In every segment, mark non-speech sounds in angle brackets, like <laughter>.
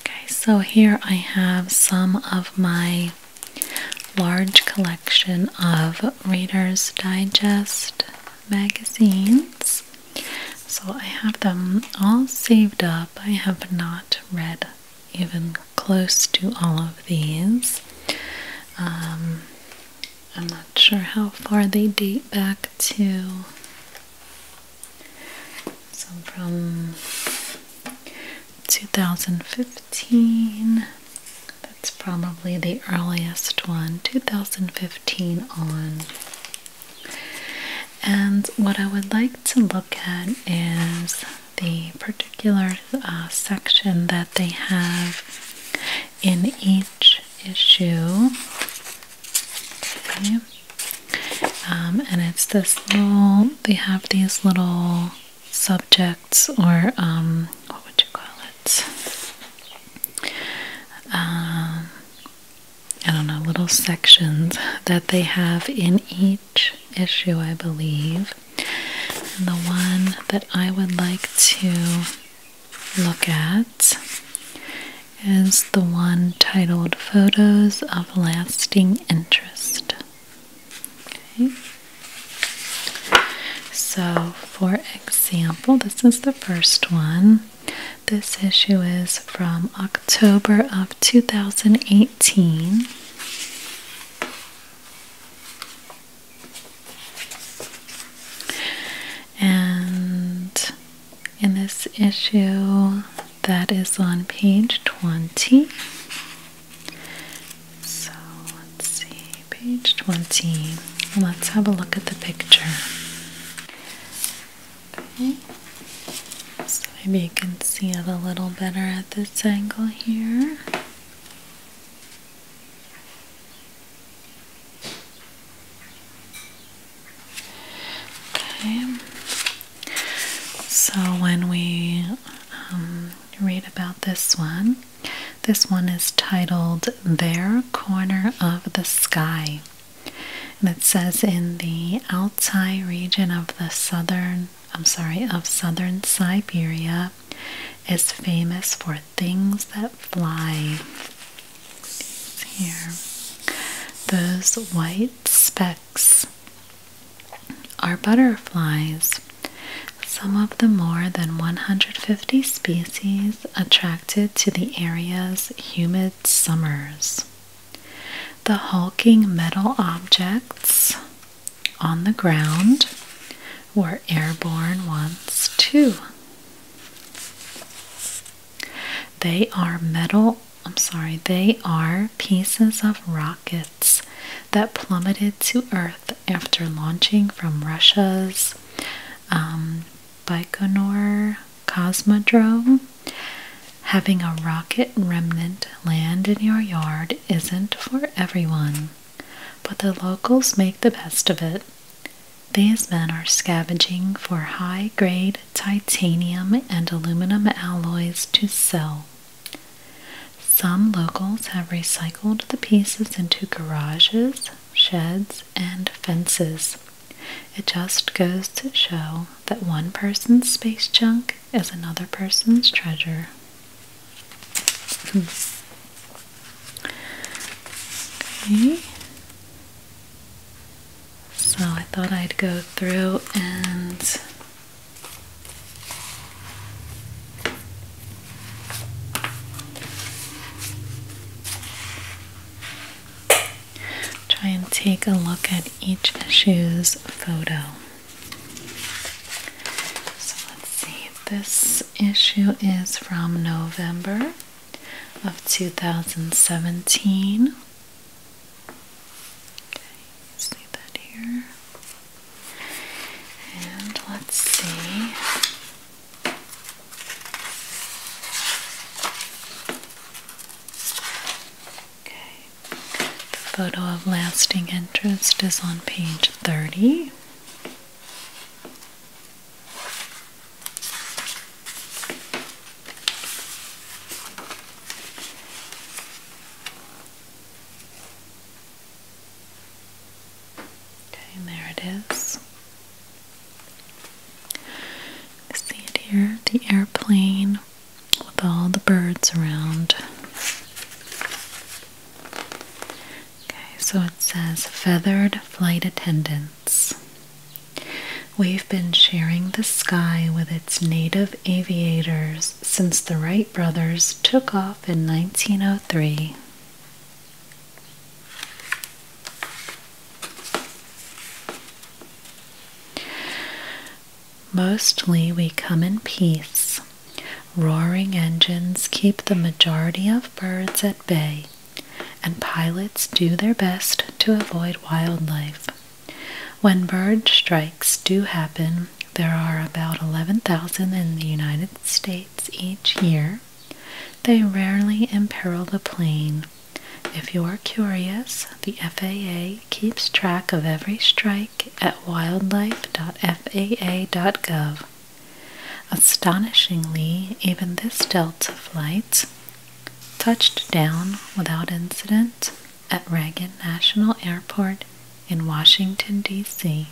Okay, so here I have some of my large collection of Reader's Digest magazines. So I have them all saved up. I have not read even close to all of these. Um, I'm not sure how far they date back to so from 2015, that's probably the earliest one, 2015 on. And what I would like to look at is the particular uh, section that they have in each issue um, and it's this little, they have these little subjects or um, what would you call it? Um, I don't know, little sections that they have in each issue, I believe. And the one that I would like to look at is the one titled Photos of Lasting Interest. So, for example, this is the first one. This issue is from October of 2018. And in this issue that is on page 20. So let's see, page 20. Let's have a look at the picture. Okay, so maybe you can see it a little better at this angle here. Okay. So when we um, read about this one, this one is titled Their Corner of the Sky. And it says in the Altai region of the southern, I'm sorry, of southern Siberia is famous for things that fly here. Those white specks are butterflies. Some of the more than 150 species attracted to the area's humid summers. The hulking metal objects on the ground were airborne once too. They are metal I'm sorry, they are pieces of rockets that plummeted to Earth after launching from Russia's um, Baikonur Cosmodrome. Having a rocket remnant land in your yard isn't for everyone, but the locals make the best of it. These men are scavenging for high grade titanium and aluminum alloys to sell. Some locals have recycled the pieces into garages, sheds, and fences. It just goes to show that one person's space junk is another person's treasure. Hmm. So I thought I'd go through and try and take a look at each issue's photo. So let's see, this issue is from November of 2017 Okay, see that here. And let's see. Okay. The photo of lasting interest is on page 30. Okay, there it is. see it here, the airplane with all the birds around. Okay, so it says feathered flight attendants. We've been sharing the sky with its native aviators since the Wright brothers took off in 1903. Mostly we come in peace. Roaring engines keep the majority of birds at bay, and pilots do their best to avoid wildlife. When bird strikes do happen, there are about 11,000 in the United States each year. They rarely imperil the plane. If you are curious, the FAA keeps track of every strike at wildlife.faa.gov. Astonishingly, even this Delta flight touched down without incident at Reagan National Airport in Washington, D.C.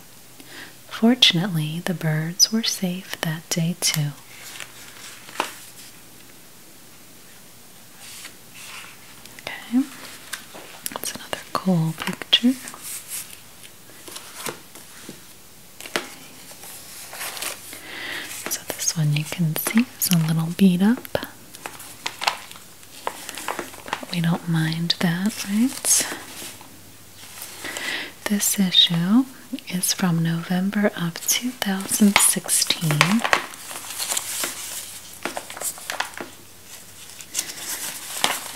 Fortunately, the birds were safe that day too. Okay, that's another cool picture. So, this one you can see is a little beat up. But we don't mind that, right? This issue is from November of 2016.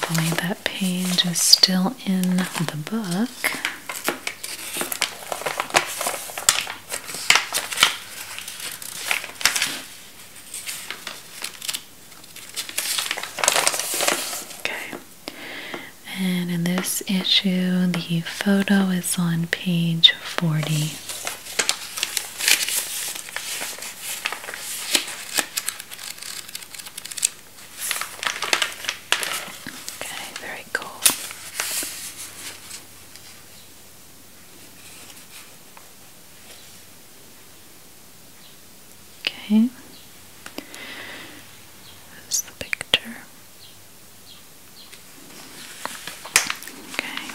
Only that page is still in the book. Okay. And in this issue, the photo is on page 40. Okay, very cool. Okay, that's the picture. Okay,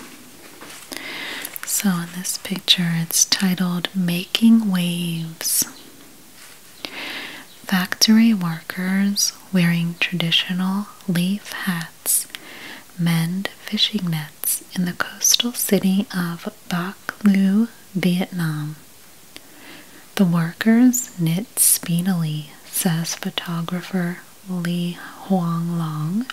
so in this picture, it's titled Making Waves. Factory workers wearing traditional leaf hats mend fishing nets in the coastal city of Bac Lu, Vietnam. The workers knit speedily, says photographer Li Huang Long,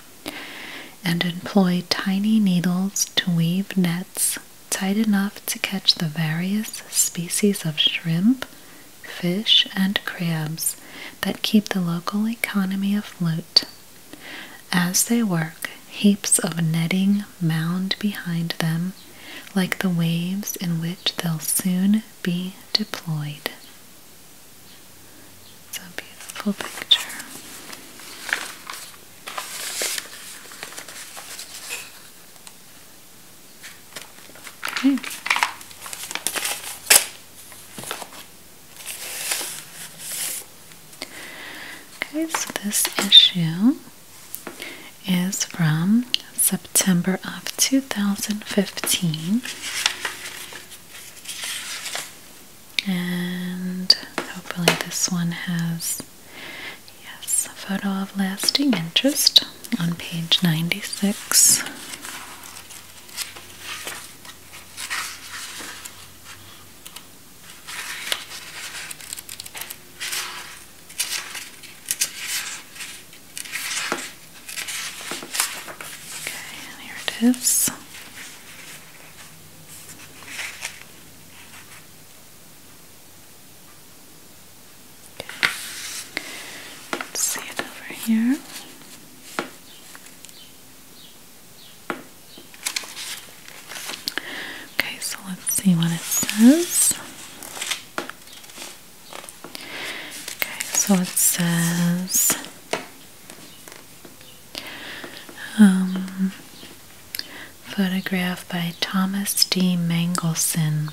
and employ tiny needles to weave nets tight enough to catch the various species of shrimp, fish, and crabs that keep the local economy afloat. As they work, heaps of netting mound behind them like the waves in which they'll soon be deployed. It's beautiful picture. Okay. Okay, so this issue is from September of 2015. And hopefully, this one has, yes, a photo of lasting interest on page 96. Okay, here it is. Okay. see it over here. Okay, so let's see what it says. Okay, so it says um, photograph by Thomas D. Mangelson.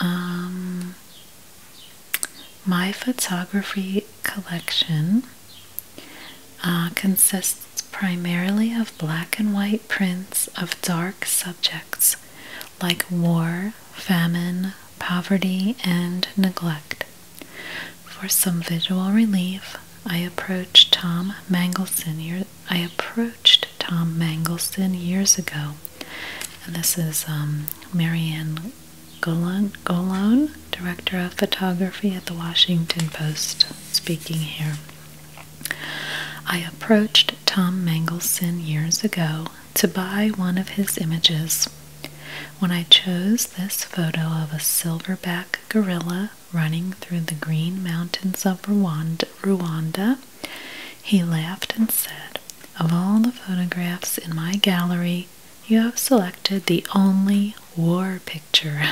Um, my photography collection uh, consists primarily of black and white prints of dark subjects like war, famine, poverty, and neglect. For some visual relief, I approached Tom Mangelson. years ago, and this is um, Marianne Golan, Golon, director of photography at the Washington Post, speaking here. I approached Tom Mangelson years ago to buy one of his images. When I chose this photo of a silverback gorilla running through the green mountains of Rwanda, he laughed and said, Of all the photographs in my gallery, you have selected the only war picture.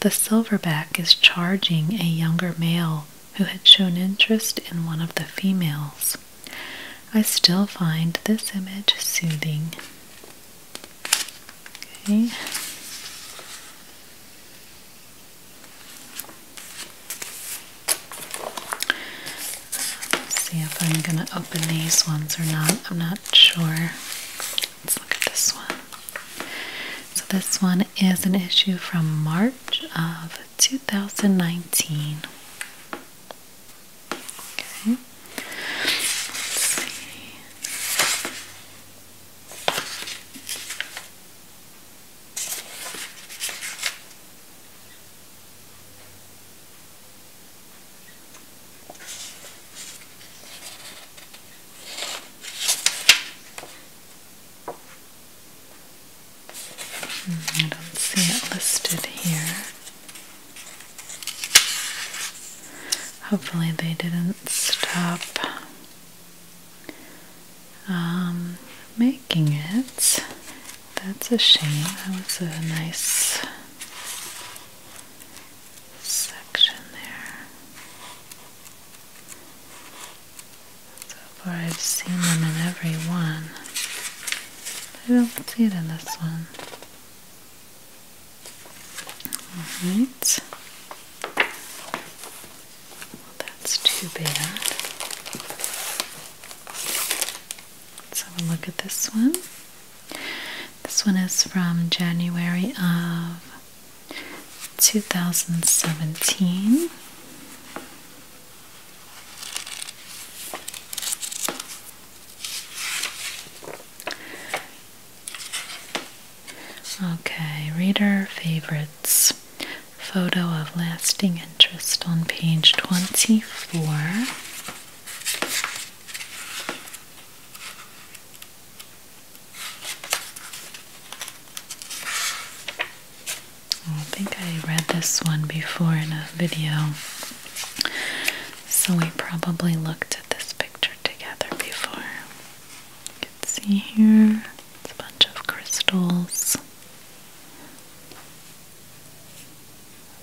The silverback is charging a younger male who had shown interest in one of the females. I still find this image soothing see if I'm gonna open these ones or not. I'm not sure. Let's look at this one. So, this one is an issue from March of 2019. Okay. Let's see. I don't see it listed here. Hopefully, they didn't stop um, making it. That's a shame. That was a nice section there. So far, I've seen them in every one. I don't see it in this one. Alright. Well, that's too bad. Let's have a look at this one. This one is from January of 2017. Okay, reader favorites. Photo of lasting interest on page 24. I think I read this one before in a video, so we probably looked at this picture together before. You can see here, it's a bunch of crystals.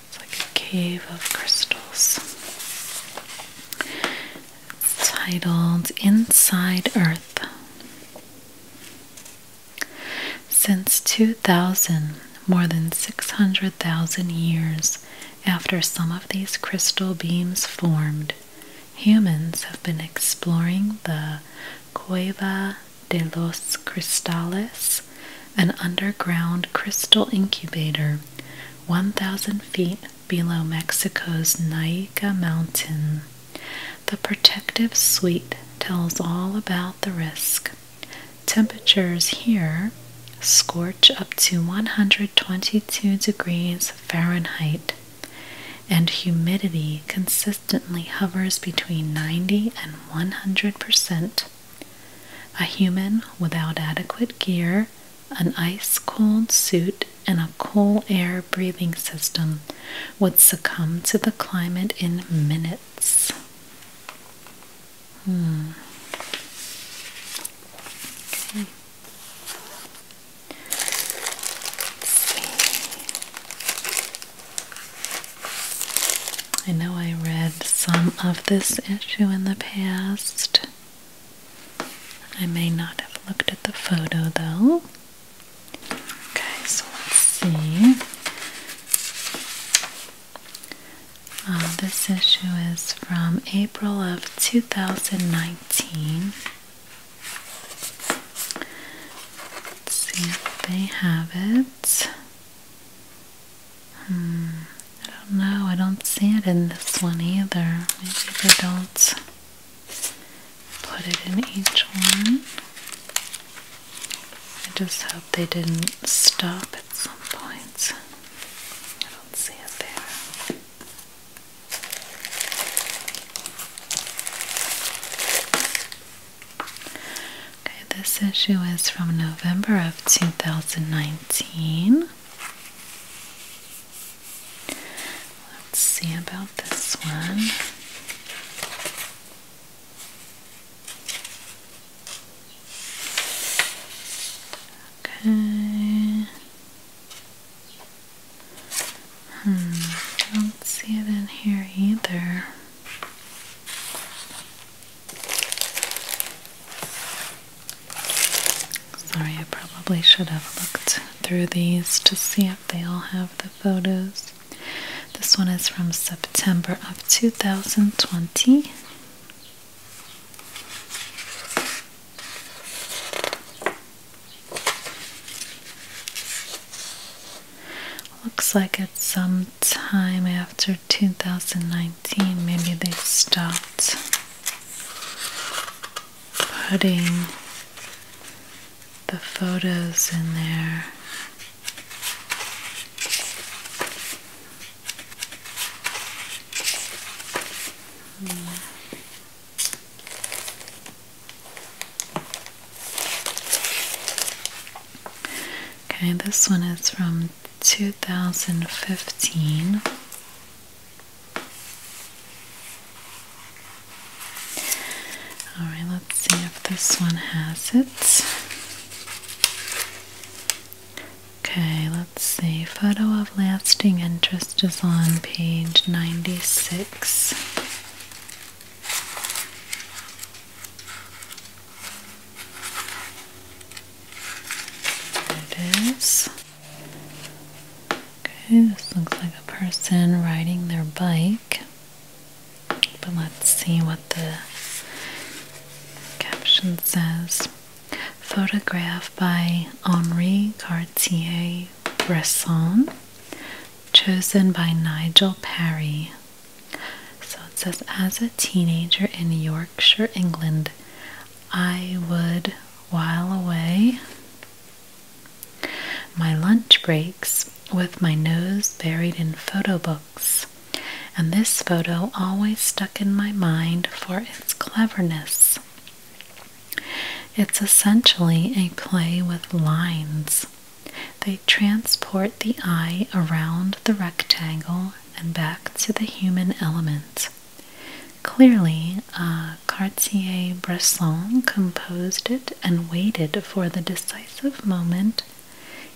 It's like a cave of crystals. It's titled Inside Earth. Since 2000, more than 600,000 years after some of these crystal beams formed, humans have been exploring the Cueva de los Cristales an underground crystal incubator 1,000 feet below Mexico's Naica Mountain. The protective suite tells all about the risk. Temperatures here scorch up to 122 degrees Fahrenheit, and humidity consistently hovers between 90 and 100 percent. A human without adequate gear, an ice cold suit, and a cool air breathing system would succumb to the climate in minutes. Hmm. I know I read some of this issue in the past. I may not have looked at the photo though. Okay, so let's see. Uh, this issue is from April of 2019. Let's see if they have it. Hmm, I don't know. I don't see it in this one either. Maybe they don't put it in each one. I just hope they didn't stop at some point. I don't see it there this issue is from November of 2019. Let's see about this one. Okay. Hmm, don't see it in here either. Sorry, I probably should have looked through these to see if they all have the photos. This one is from September of 2020. Looks like it's some time after 2019 maybe they stopped putting the photos in there Okay, this one is from 2015. All right, let's see if this one has it. Okay, let's see. Photo of lasting interest is on page 96. There it is. Okay, this looks like a person riding their bike. But let's see what the caption says. Photograph by Henri Cartier Bresson, chosen by Nigel Perry. So it says, as a teenager in New York." Sure, England, I would while away my lunch breaks with my nose buried in photo books, and this photo always stuck in my mind for its cleverness. It's essentially a play with lines. They transport the eye around the rectangle and back to the human element. Clearly, uh, Cartier-Bresson composed it and waited for the decisive moment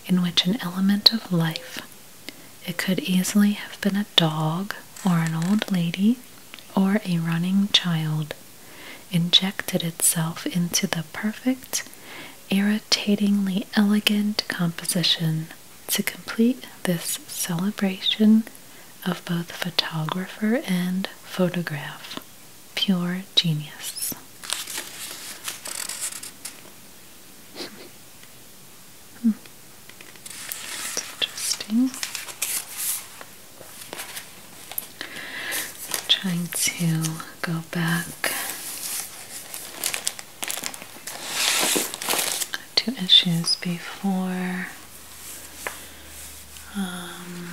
in which an element of life, it could easily have been a dog or an old lady or a running child, injected itself into the perfect, irritatingly elegant composition to complete this celebration of both photographer and photograph, pure genius. Hmm. interesting. trying to go back two issues before um,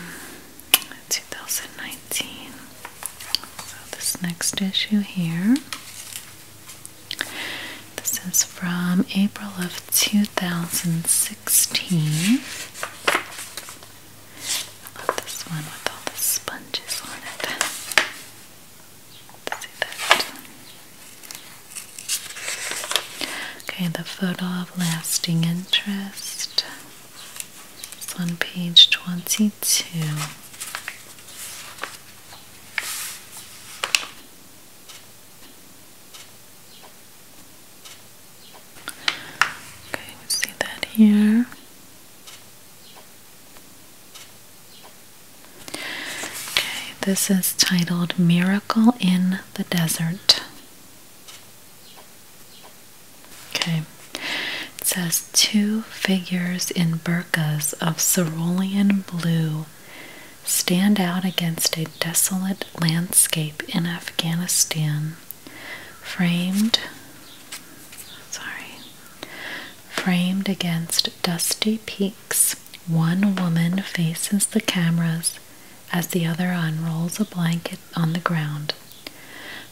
2019. So, this next issue here. This is from April of 2016. I love this one with all the sponges on it. Okay, the photo of lasting interest. is on page 22. Okay, see that here. Okay, this is titled Miracle in the Desert. Okay, it says two figures in burkas of cerulean blue stand out against a desolate landscape in Afghanistan, framed. Sorry. Framed against dusty peaks one woman faces the cameras as the other unrolls a blanket on the ground.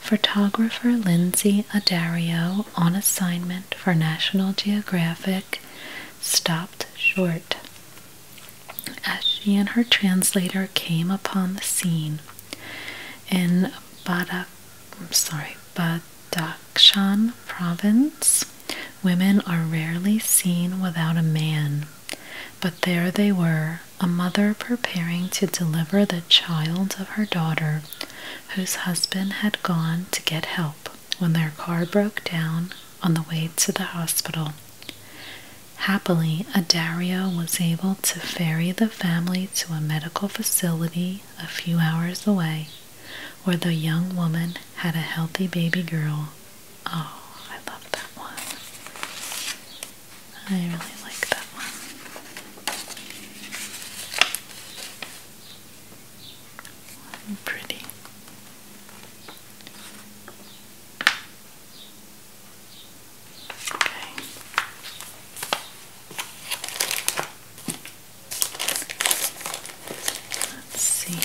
Photographer Lindsay Adario, on assignment for National Geographic, stopped short as she and her translator came upon the scene. In Bada, I'm sorry, but. Dakshan province, women are rarely seen without a man. But there they were, a mother preparing to deliver the child of her daughter, whose husband had gone to get help when their car broke down on the way to the hospital. Happily, a dario was able to ferry the family to a medical facility a few hours away where the young woman had a healthy baby girl. Oh, I love that one. I really like that one. Pretty. Okay. Let's see.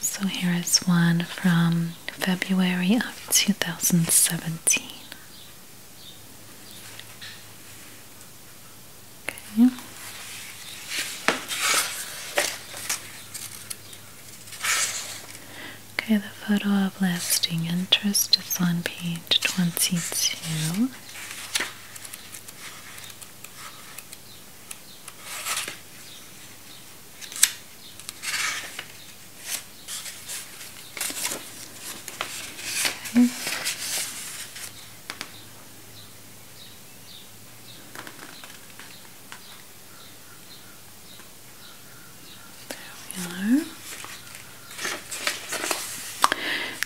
So here is one from February of 2017. Okay. Okay, the photo of lasting interest is on page 22 down. Okay. There we are.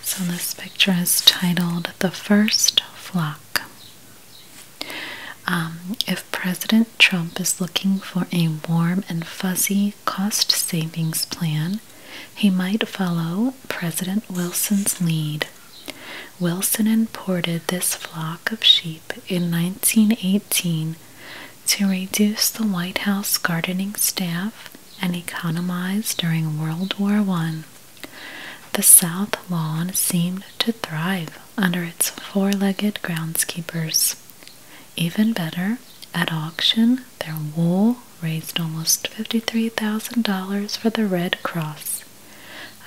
So, this picture is titled The First Flock. Um, if President Trump is looking for a warm and fuzzy cost savings plan, he might follow President Wilson's lead. Wilson imported this flock of sheep in 1918 to reduce the White House gardening staff and economized during World War I. The South Lawn seemed to thrive under its four legged groundskeepers. Even better, at auction, their wool raised almost $53,000 for the Red Cross.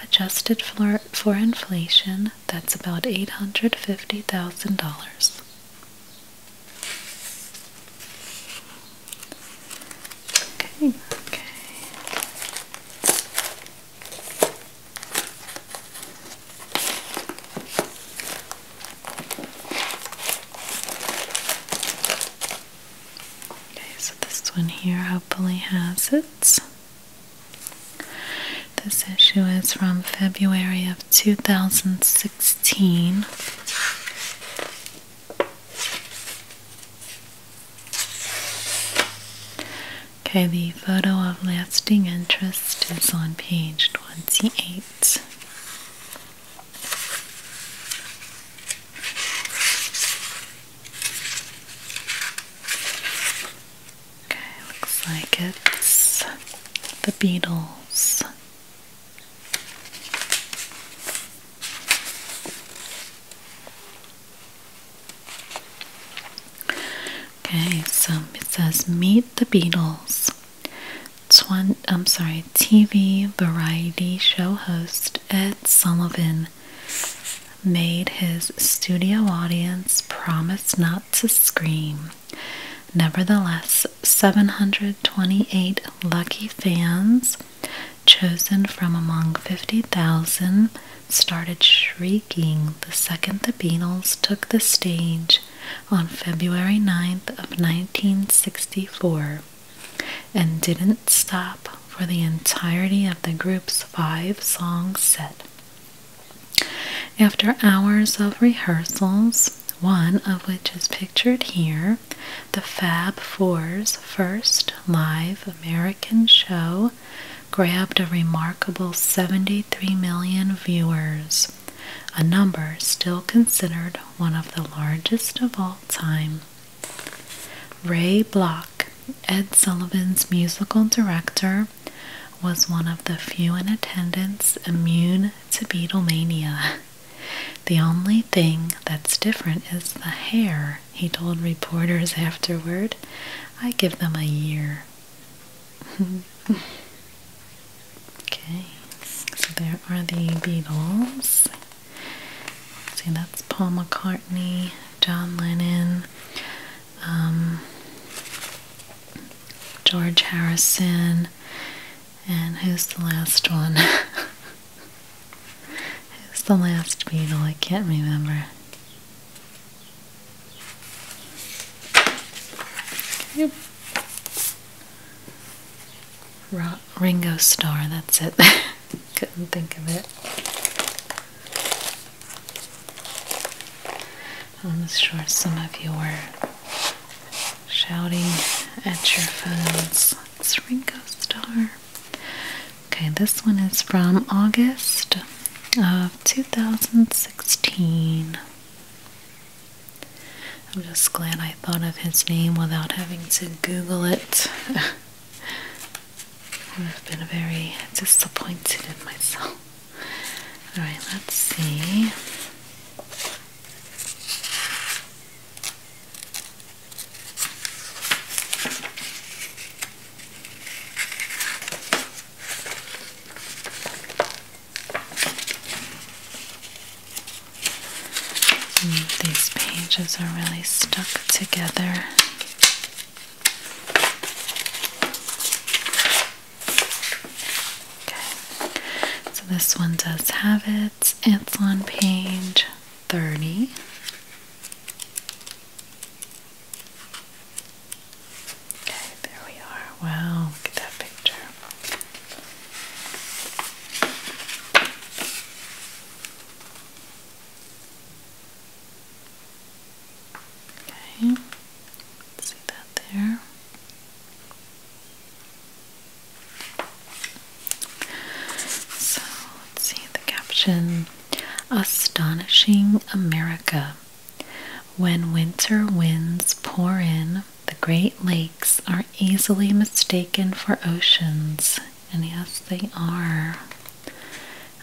Adjusted for, for inflation, that's about $850,000. Okay, okay. Okay, so this one here hopefully has it. This issue is from February of 2016. Okay, the photo of lasting interest is on page 28. Okay, looks like it's the Beatles Okay, so it says Meet the Beatles. I'm sorry, TV variety show host Ed Sullivan made his studio audience promise not to scream. Nevertheless, 728 lucky fans, chosen from among 50,000, started shrieking the second the Beatles took the stage on February 9th of 1964 and didn't stop for the entirety of the group's five-song set. After hours of rehearsals, one of which is pictured here, the Fab Four's first live American show grabbed a remarkable 73 million viewers, a number still considered one of the largest of all time. Ray Block, Ed Sullivan's musical director, was one of the few in attendance immune to Beatlemania. <laughs> The only thing that's different is the hair, he told reporters afterward. I give them a year. <laughs> okay, so there are the Beatles. See, that's Paul McCartney, John Lennon, um, George Harrison, and who's the last one? <laughs> who's the last beetle? I can't remember. Ringo Star, that's it. <laughs> Couldn't think of it. I'm sure some of you were shouting at your phones Ringo Starr. Okay, this one is from August of 2016. I'm just glad I thought of his name without having to Google it. I would have been very disappointed in myself. Alright, let's see these pages are really stuck together. Okay, so this one does have it, it's on page thirty. Okay, there we are. Wow, look at that picture. Okay, see that there. So let's see the caption Astonishing America. When winter winds pour in, the Great Lakes are easily mistaken for oceans. And yes, they are.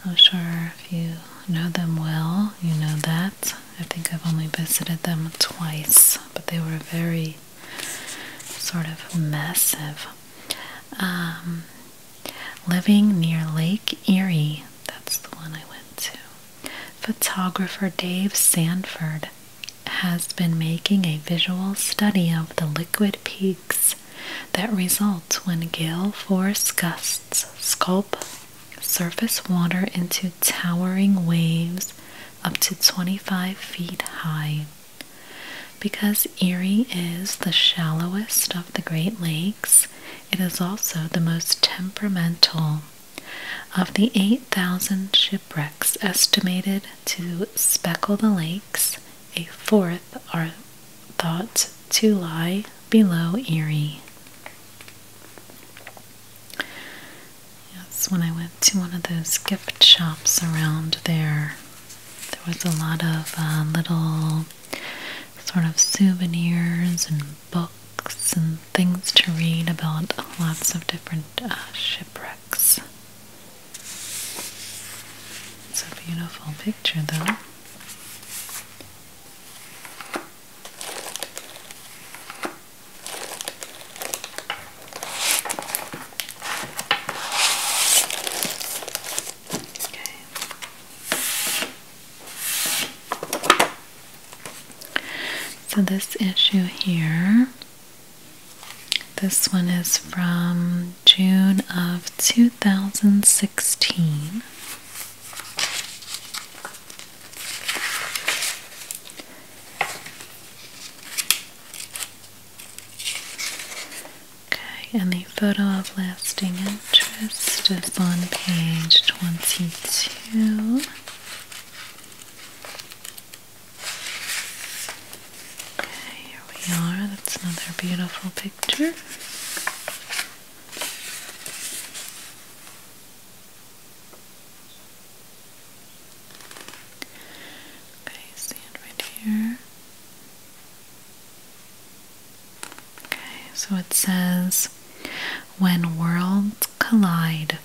I'm sure if you know them well, you know that. I think I've only visited them twice, but they were very sort of massive. Um, living near Lake Erie, that's the one I went to. Photographer Dave Sanford has been making a visual study of the liquid peaks that result when gale force gusts sculpt surface water into towering waves up to 25 feet high. Because Erie is the shallowest of the Great Lakes, it is also the most temperamental. Of the 8,000 shipwrecks estimated to speckle the lakes, a fourth are thought to lie below Erie. Yes, when I went to one of those gift shops around there. There was a lot of uh, little sort of souvenirs and books and things to read about lots of different uh, shipwrecks. It's a beautiful picture, though. So this issue here, this one is from June of 2016. Okay, and the photo of lasting interest is on page 22. Okay, here we are. That's another beautiful picture. Okay, stand right here. Okay, so it says when worlds collide,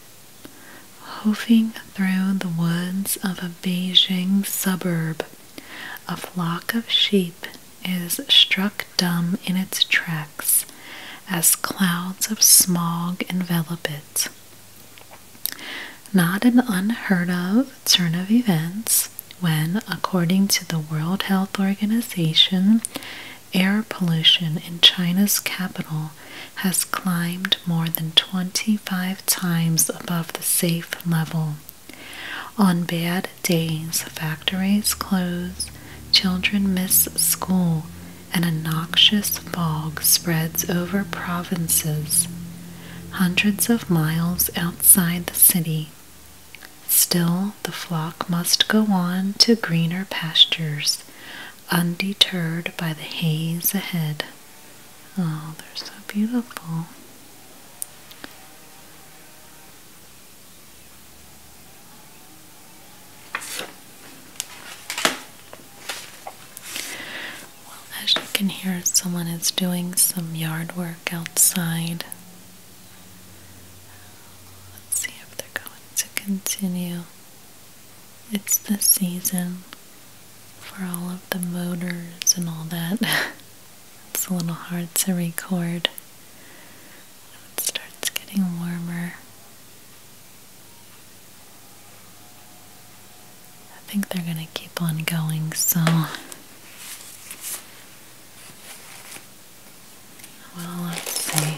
hoofing through the woods of a Beijing suburb, a flock of sheep is struck dumb in its tracks as clouds of smog envelop it. Not an unheard of turn of events when, according to the World Health Organization, air pollution in China's capital has climbed more than 25 times above the safe level. On bad days, factories close, children miss school, and a noxious fog spreads over provinces hundreds of miles outside the city. Still, the flock must go on to greener pastures, undeterred by the haze ahead. Oh, they're so beautiful. Well, as you can hear, someone is doing some yard work outside. Let's see if they're going to continue. It's the season for all of the motors and all that. <laughs> it's a little hard to record. It starts getting warmer. I think they're going to keep on going, so. Well, let's see.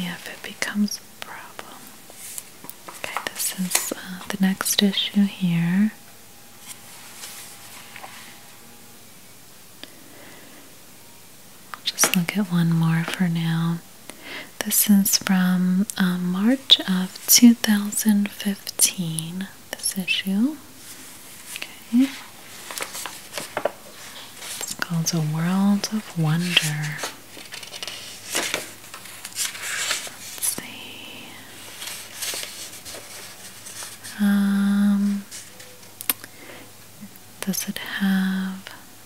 see if it becomes a problem. Okay, this is uh, the next issue here. just look at one more for now. This is from um, March of 2015, this issue. Okay. It's called A World of Wonder. Let's see. Um, does it have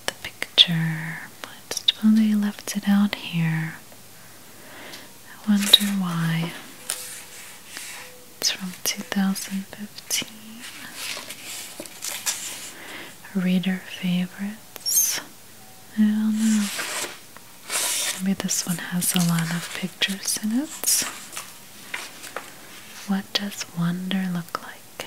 the picture? But well, they left it out here. I wonder why. It's from 2015. Reader favorites. I don't know. Maybe this one has a lot of pictures in it. What does wonder look like?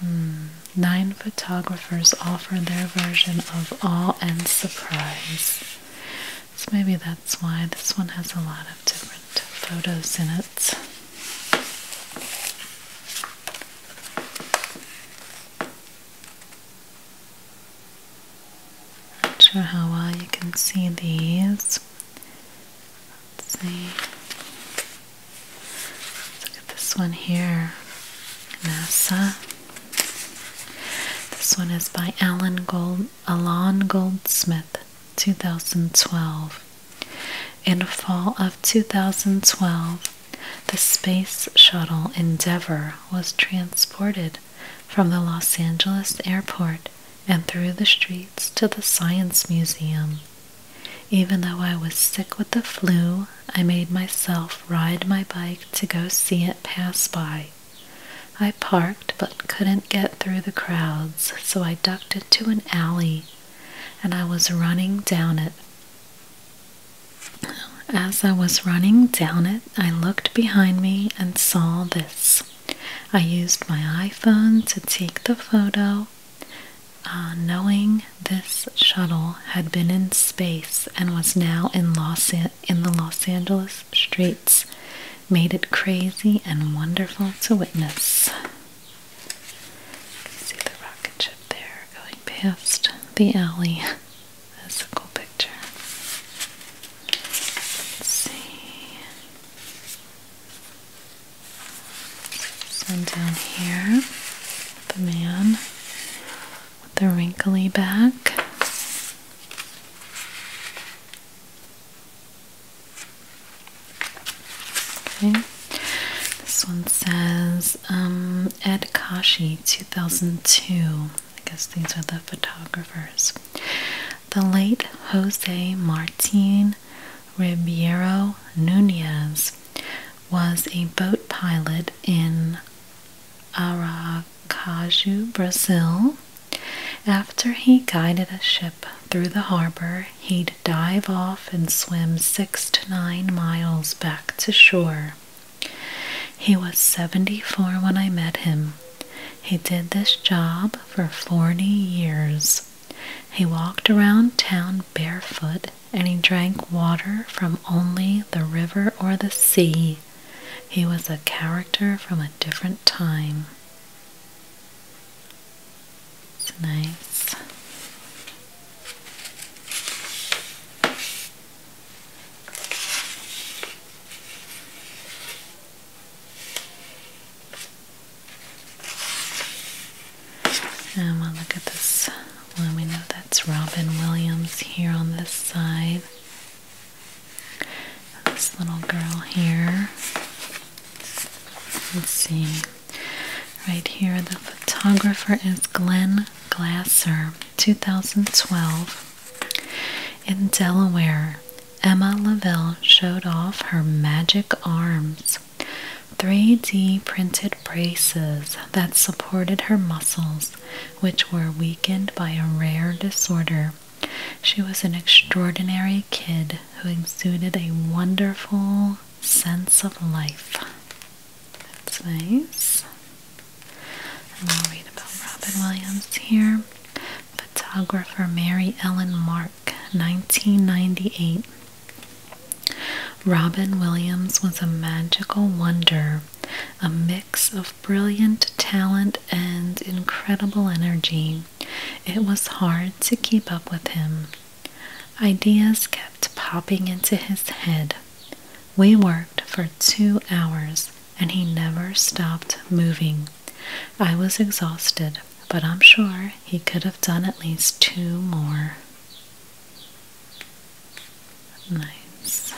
Hmm. Nine photographers offer their version of awe and surprise. So maybe that's why this one has a lot of different photos in it. Not sure how well you can see these. Let's see at this one here, NASA. This one is by Alan Gold, Alan Goldsmith, 2012. In fall of 2012, the Space Shuttle Endeavour was transported from the Los Angeles airport and through the streets to the Science Museum. Even though I was sick with the flu, I made myself ride my bike to go see it pass by. I parked but couldn't get through the crowds, so I ducked into an alley and I was running down it. As I was running down it, I looked behind me and saw this. I used my iPhone to take the photo, uh, knowing this shuttle had been in space and was now in Los in the Los Angeles streets. Made it crazy and wonderful to witness. You can see the rocket ship there going past the alley. That's a cool picture. let see. This down here. The man with the wrinkly back. Okay. This one says um, Ed Kashi 2002. I guess these are the photographers. The late Jose Martin Ribeiro Nunez was a boat pilot in Aracaju, Brazil. After he guided a ship through the harbor, he'd dive off and swim six to nine miles back to shore. He was 74 when I met him. He did this job for 40 years. He walked around town barefoot and he drank water from only the river or the sea. He was a character from a different time. It's nice. And we'll look at this let me know that's Robin Williams here on this side. This little girl here. Let's see. Right here, the photographer is Glenn Glasser, 2012. In Delaware, Emma Lavelle showed off her magic arms. 3D printed braces that supported her muscles which were weakened by a rare disorder. She was an extraordinary kid who exuded a wonderful sense of life. That's nice. And we'll read about Robin Williams here. Photographer Mary Ellen Mark, 1998. Robin Williams was a magical wonder a mix of brilliant talent and incredible energy. It was hard to keep up with him. Ideas kept popping into his head. We worked for two hours and he never stopped moving. I was exhausted, but I'm sure he could have done at least two more. Nice.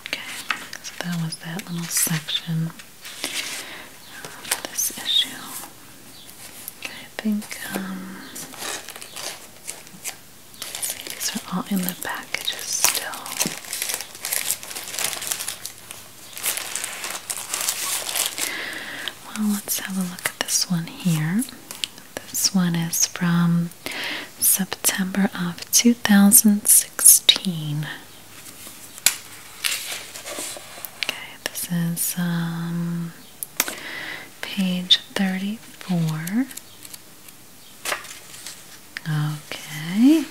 Okay, so that was that little section of this issue. Okay, I think um, these are all in the packages still. Well, let's have a look at this one here. This one is from September of 2016. Okay, this is um, page 34. Okay,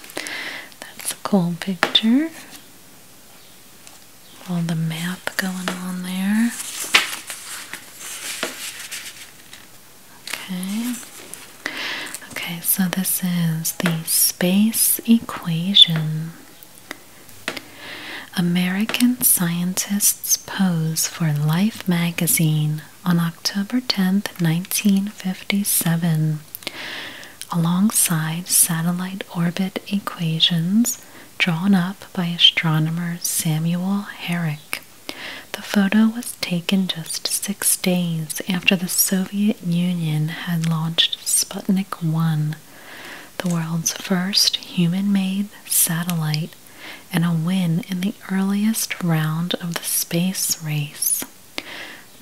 that's a cool picture. All the map going on there. Okay. Okay, so this is the space equation. American scientists pose for Life magazine on October 10th, 1957, alongside satellite orbit equations drawn up by astronomer Samuel Herrick. The photo was taken just six days after the Soviet Union had launched Sputnik 1, the world's first human made satellite, and a win in the earliest round of the space race.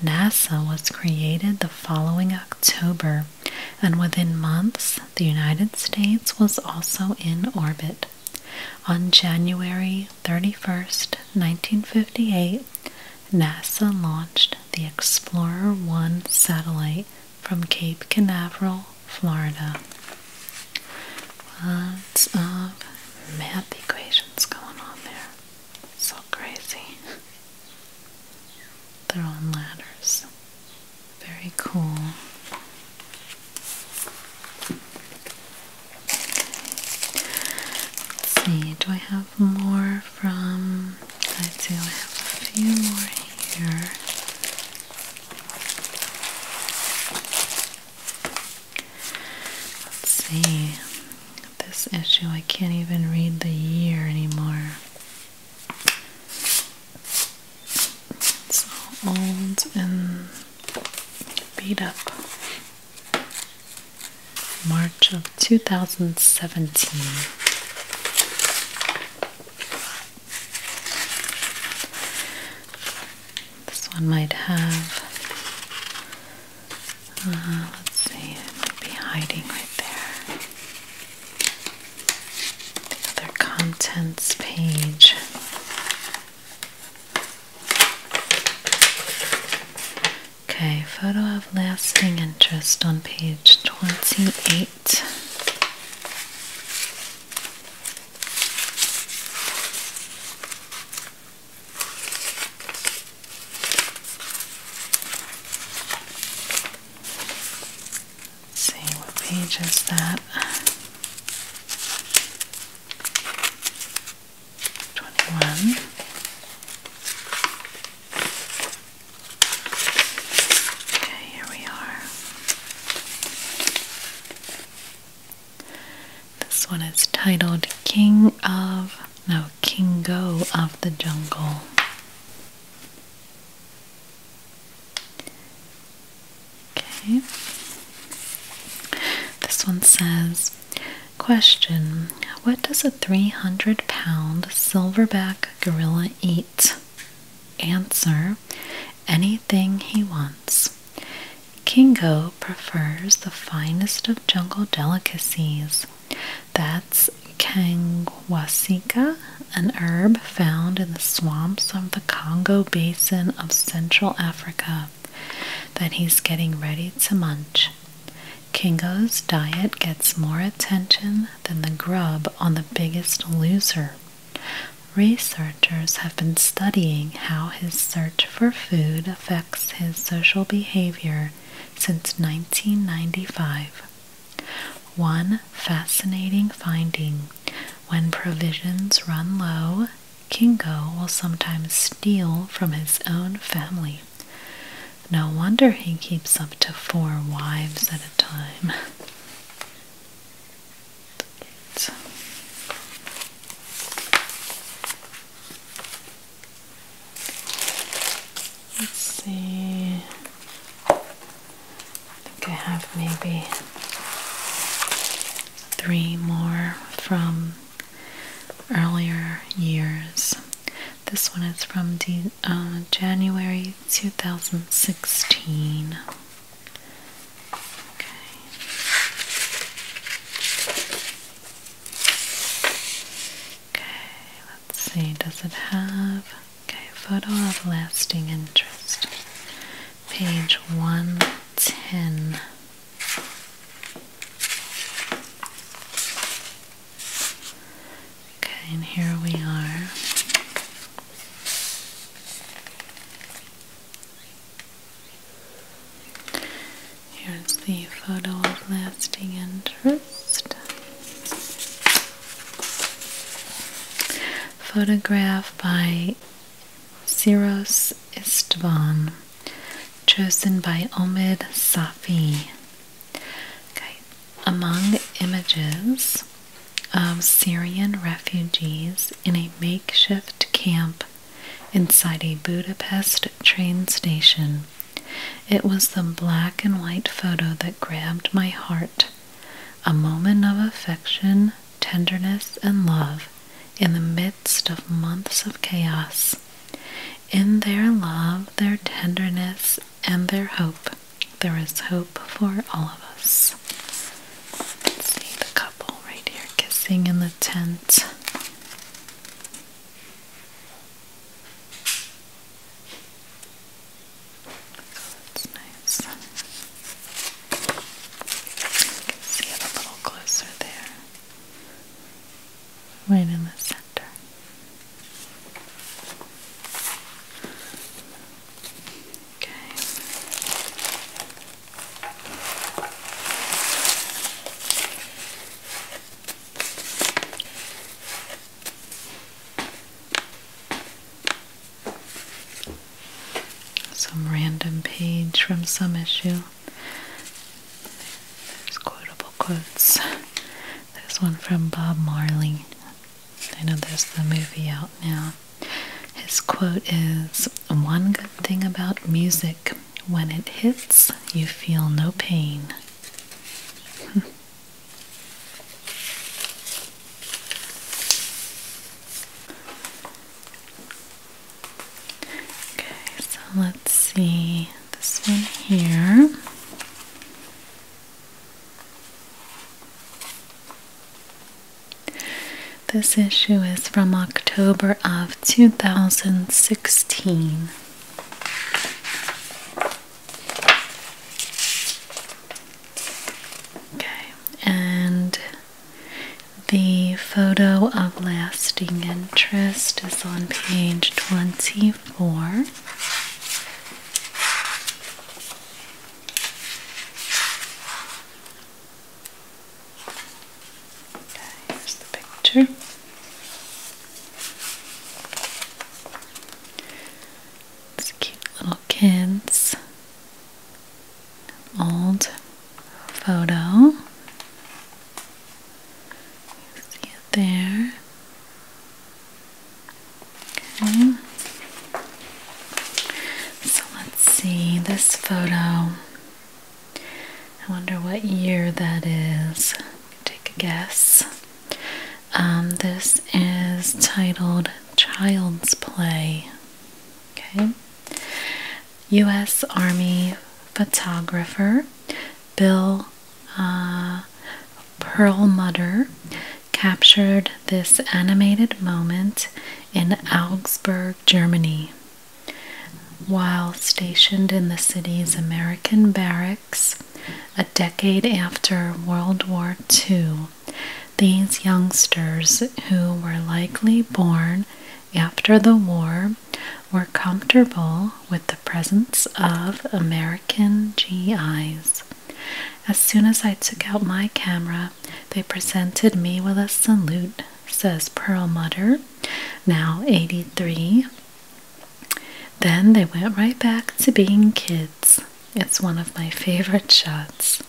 NASA was created the following October, and within months, the United States was also in orbit. On January 31, 1958, NASA launched the Explorer 1 satellite from Cape Canaveral, Florida. Lots of math equations going on there. So crazy. <laughs> They're on ladders. Very cool. Let's see, do I have more from? I do I have a few more here. Let's see. This issue I can't even read the year anymore. It's all old and beat up. March of 2017. This one might have. Uh, let's see, it might be hiding right there. The contents page. Okay, photo of lasting interest on page 28. Let's see what page is that? 21. Okay, here we are. This one is titled King of, no, Kingo of the Jungle. Okay. This one says Question What does a 300 pound silverback gorilla eat? Answer Anything he wants. Kingo prefers the finest of jungle delicacies. That's kangwasika, an herb found in the swamps of the Congo basin of Central Africa that he's getting ready to munch. Kingo's diet gets more attention than the grub on the biggest loser. Researchers have been studying how his search for food affects his social behavior since 1995. One fascinating finding when provisions run low, Kingo will sometimes steal from his own family. No wonder he keeps up to four wives at a time. Let's see. I think I have maybe three more from earlier years. This one is from uh, January 2016. Okay. Okay, let's see, does it have okay, photo of lasting interest? page 110. Okay, and here we are. Here's the photo of lasting interest. Photograph by Siros Istvan, chosen by Omid Safi. Okay. Among images of Syrian refugees in a makeshift camp inside a Budapest train station, it was the black and white photo that grabbed my heart. A moment of affection tenderness, and love in the midst of months of chaos. In their love, their tenderness, and their hope, there is hope for all of us. see the couple right here kissing in the tent. Oh, nice eyes. You can see it a little closer there. Right in the center. Okay some random page from some issue. There's quotable quotes. There's one from Bob Marley. I know there's the movie out now. His quote is One good thing about music, when it hits, you feel no pain. Okay, so let's see this one here. This issue is from October of 2016. Okay, and the photo of lasting interest is on page 24. here's the picture. It's cute little kids old photo. You see it there. Okay. So let's see this photo. I wonder what year that is. Take a guess. Um, this is titled Child's Play. Okay. U.S. Army photographer Bill uh, Perlmutter captured this animated moment in Augsburg, Germany. While stationed in the city's American barracks a decade after World War II, these youngsters, who were likely born after the war were comfortable with the presence of American GIs. As soon as I took out my camera, they presented me with a salute, says Perlmutter, now 83. Then they went right back to being kids. It's one of my favorite shots.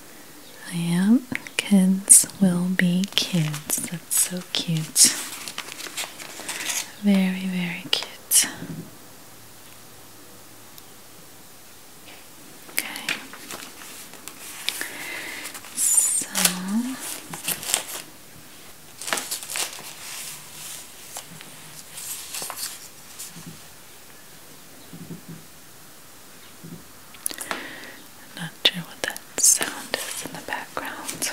I am. kids will be kids. That's so cute. Very, very cute. Okay. So i not sure what that sound is in the background.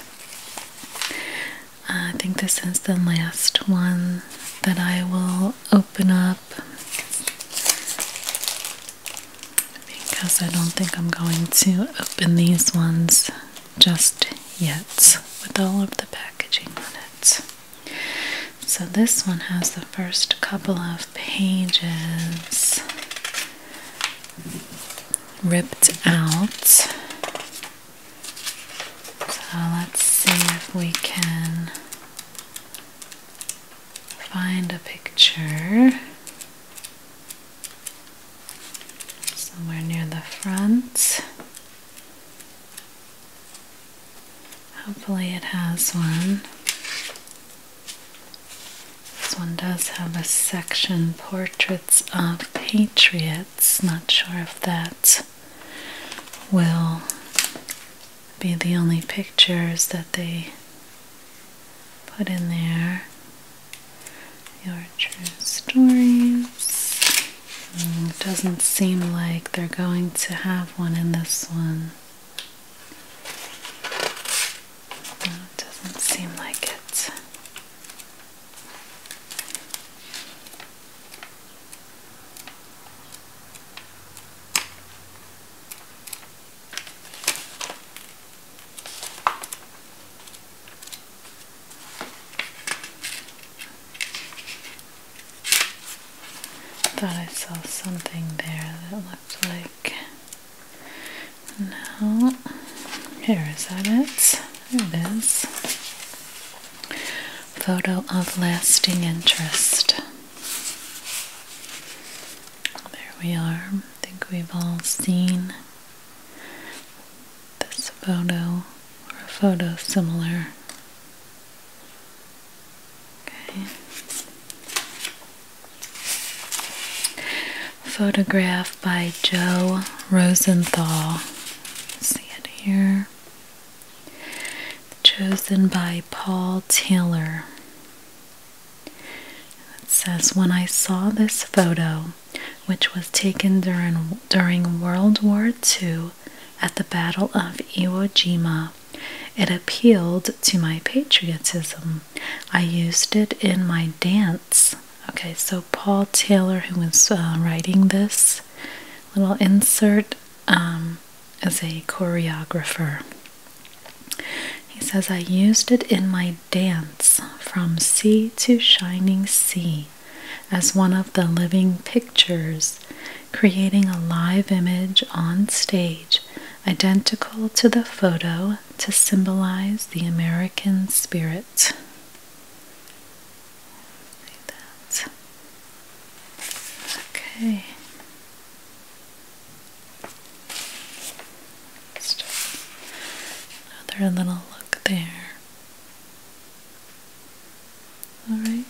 Uh, I think this is the last one that I will open up because I don't think I'm going to open these ones just yet with all of the packaging on it. So this one has the first couple of pages ripped out. So let's see if we can find a picture somewhere near the front. Hopefully, it has one. This one does have a section portraits of patriots. Not sure if that will be the only pictures that they put in there. Your true stories. Mm, doesn't seem like they're going to have one in this one. No, it doesn't seem like it. Thought I saw something there that looked like now, here is that it. There it is. Photo of lasting interest. There we are. I think we've all seen this photo or a photo similar. Okay. Photograph by Joe Rosenthal. See it here. Chosen by Paul Taylor. It says, When I saw this photo, which was taken during, during World War II at the Battle of Iwo Jima, it appealed to my patriotism. I used it in my dance. Okay, so Paul Taylor, who was uh, writing this little insert, um, is a choreographer. He says, I used it in my dance from sea to shining sea as one of the living pictures, creating a live image on stage identical to the photo to symbolize the American spirit. Okay. another little look there. Alright.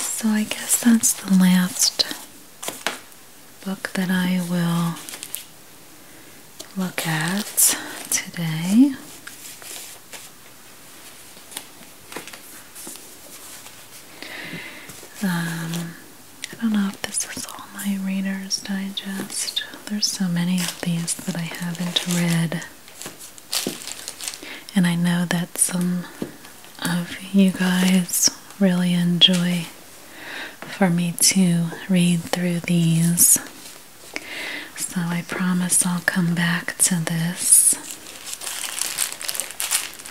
So I guess that's the last book that I will look at today. Um, I don't know if this is all my Reader's Digest. There's so many of these that I haven't read. And I know that some of you guys really enjoy for me to read through these. So I promise I'll come back to this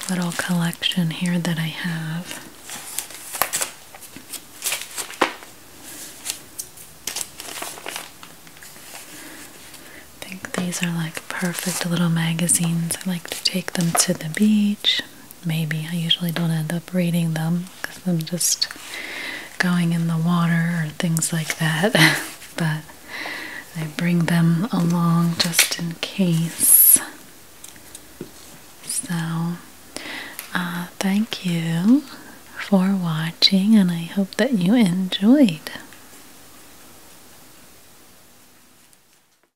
little collection here that I have. I think these are like perfect little magazines. I like to take them to the beach, maybe. I usually don't end up reading them because I'm just going in the water or things like that. <laughs> but I bring them along just in case. So, uh, thank you for watching, and I hope that you enjoyed.